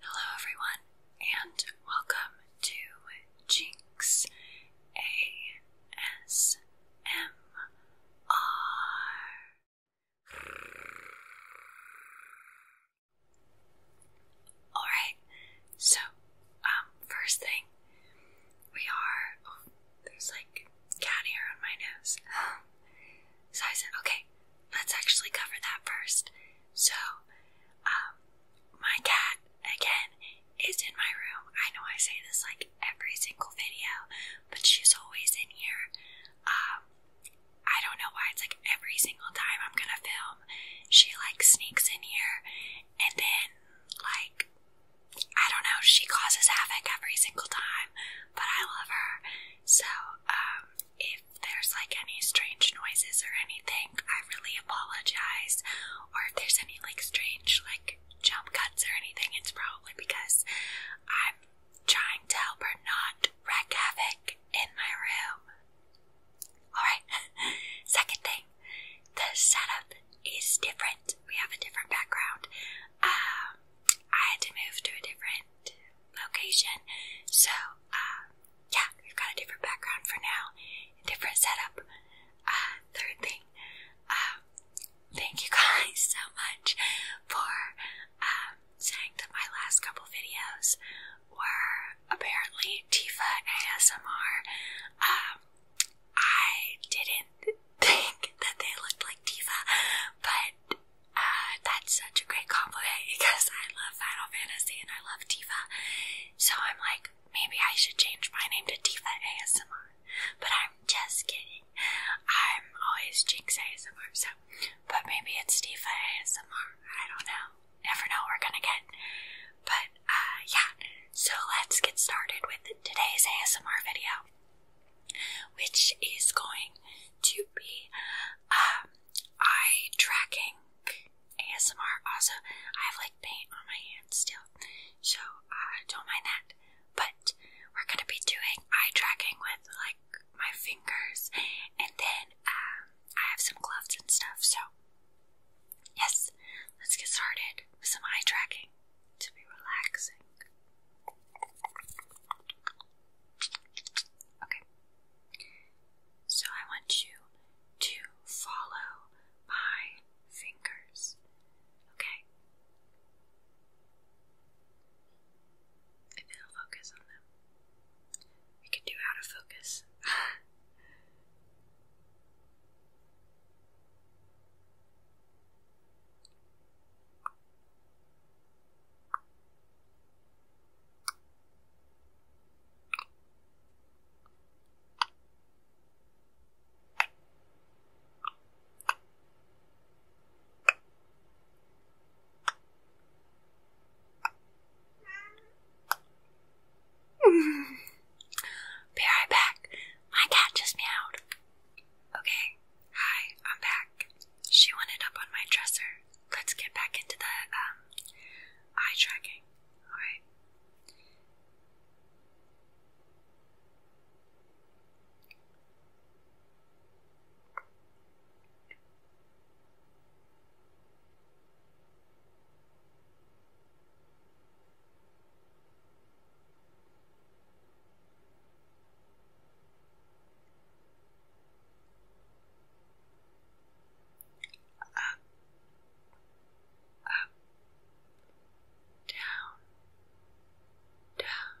Hello, everyone, and welcome to Jinx ASMR. Alright, so, um, first thing, we are there's like cat hair on my nose. so I okay, let's actually cover that first. So, um, my cat, again, is in my room. I know I say this like every single video, but she's always in here. Um, I don't know why it's like every single time I'm gonna film, she like sneaks in here and then like I don't know, she causes havoc every single time, but I love her. So, um, if there's like any strange noises or anything, I really apologize. Or if there's any like strange like jump cuts or anything, it's probably because I'm trying to help her not wreck havoc in my room. Alright, second thing, the setup is different. We have a different background. Um, I had to move to a different location. So, uh, yeah, we've got a different background for now, different setup. Uh, third thing, um, thank you guys so much for, um, saying that my last couple videos were apparently Tifa ASMR. Um, I didn't think that they looked like Diva, but uh, that's such a great compliment eh? because I love Final Fantasy and I love Diva. So I'm like, maybe I should change my name to Diva ASMR. But I'm just kidding. I'm always Jinx ASMR, so. But maybe it's Diva ASMR. I don't know. Never know what we're gonna get. But, uh, yeah. So let's get started with today's ASMR video which is going to be um, eye tracking ASMR. Also, I have like paint on my hands still, so uh, don't mind that. But we're gonna be doing eye tracking with like my fingers, and then um, I have some gloves and stuff. So, yes, let's get started with some eye tracking to be relaxing. Okay. So I want you to follow my fingers. Okay? If it'll focus on them. We can do out of focus. Be right back. My cat just meowed. Okay, hi, I'm back. She wanted up on my dresser. Let's get back into the um, eye tracking. Alright. Up, up, down, down.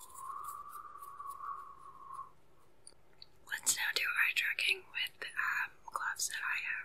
Let's now do eye tracking with um, gloves that I have.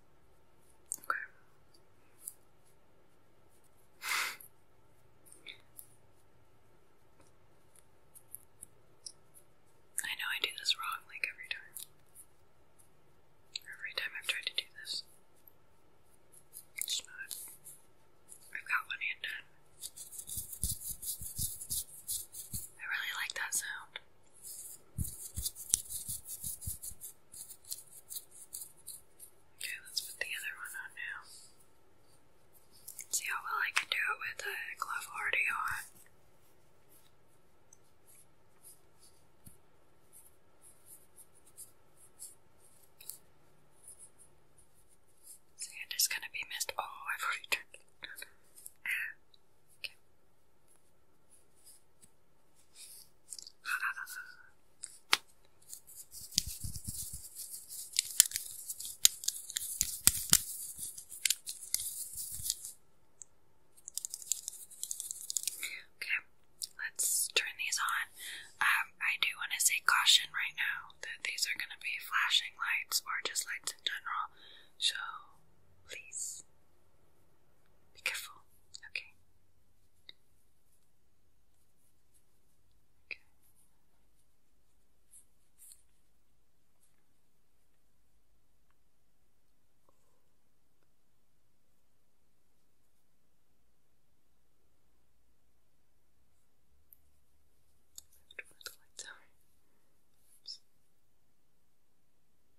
Okay. I know I do this wrong like every time. Every time I've tried to do this. I've got one hand done. I really like that sound. Okay, let's put the other one on now. See how well I can do it with the glove already on. See, it is gonna be missed. Oh, I've already turned it. Ah, okay. Okay, let's turn these on. Um, I do want to say caution right now that these are going to be flashing lights or just lights in general, so please be careful. Okay. Okay. I the lights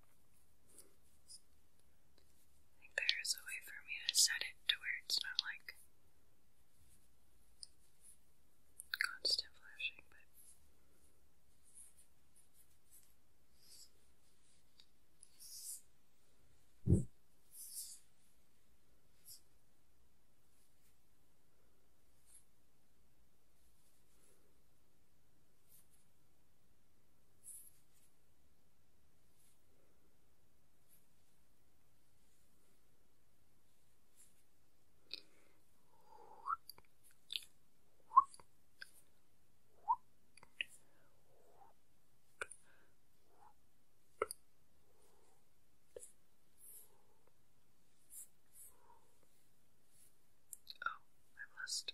I think there is a way for me to set it to where it's not like constant flashing, but. Oh, I must.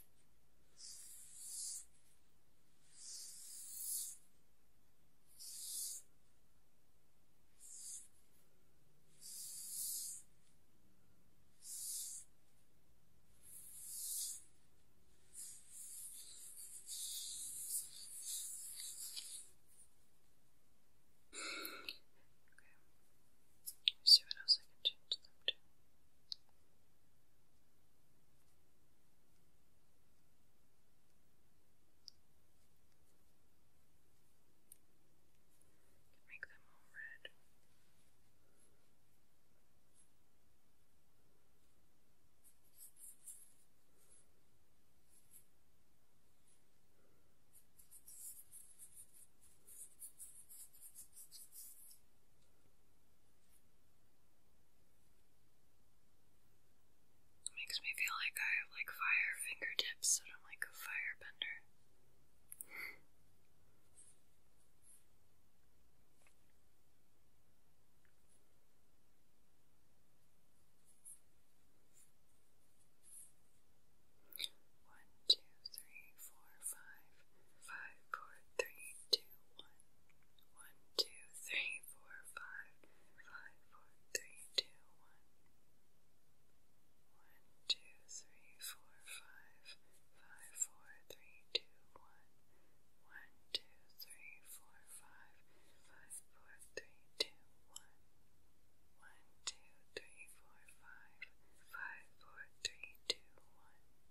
Okay. see what else I can change them to. Can make them all red. It makes me feel like I have like fire fingertips, but I'm like a firebender. One, two, three, four, five, five, four, three, two, one. One, two, three, four, five. Five, four, three, two, one. One, two, three, four, five. Five, four, three, two, one. One, two, three, four, five. Five, four, three, two, one. One, two, three, four, five. Five, four, three, two, one.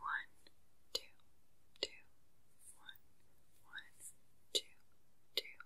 One, two, two, one, one, two, two,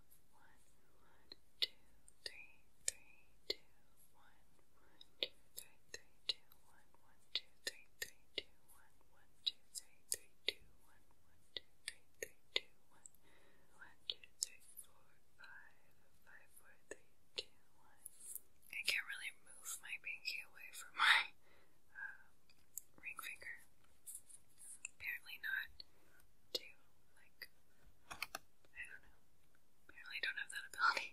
one, one, two, three, three, two, one, one, two, three, three, two, one, one, two, three, three, two, one, one, two, three, three, two, one, one, two, three, three, two, one, one, two, three, four, five, five, four, three, two, one. I can't really move my pinky away from my uh, ring finger. Apparently not too. Like, I don't know. Apparently, don't have that ability.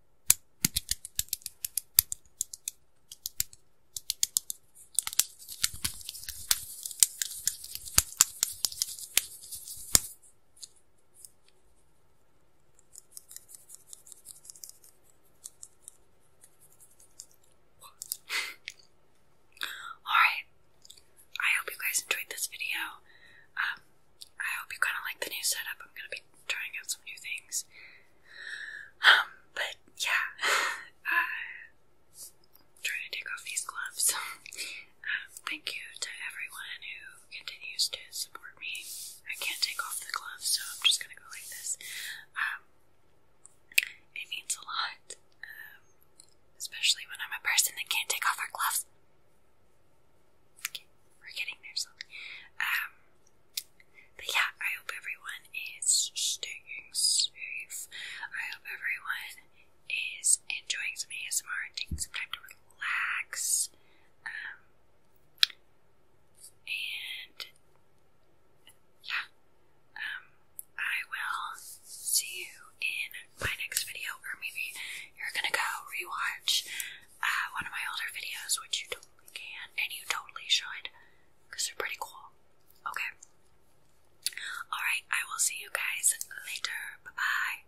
Alright, I hope you guys enjoyed this video. Um, I hope you kind of like the new setup. I'm gonna be trying out some new things. Um, but yeah, uh, trying to take off these gloves. Um, thank you to everyone who continues to support me. I can't take off the gloves, so I'm just gonna go like this. Um, it means a lot, um, especially when I'm a person that can't take off her gloves. Okay, we're getting there slowly. Um, but yeah, I hope everyone is staying safe. I hope everyone is enjoying some ASMR and taking some time to relax. Um, and yeah, um, I will see you in my next video, or maybe you're gonna go rewatch uh, one of my older videos, which you totally can, and you totally should, because they're pretty cool. Okay. Alright, I will see you guys later. Bye bye.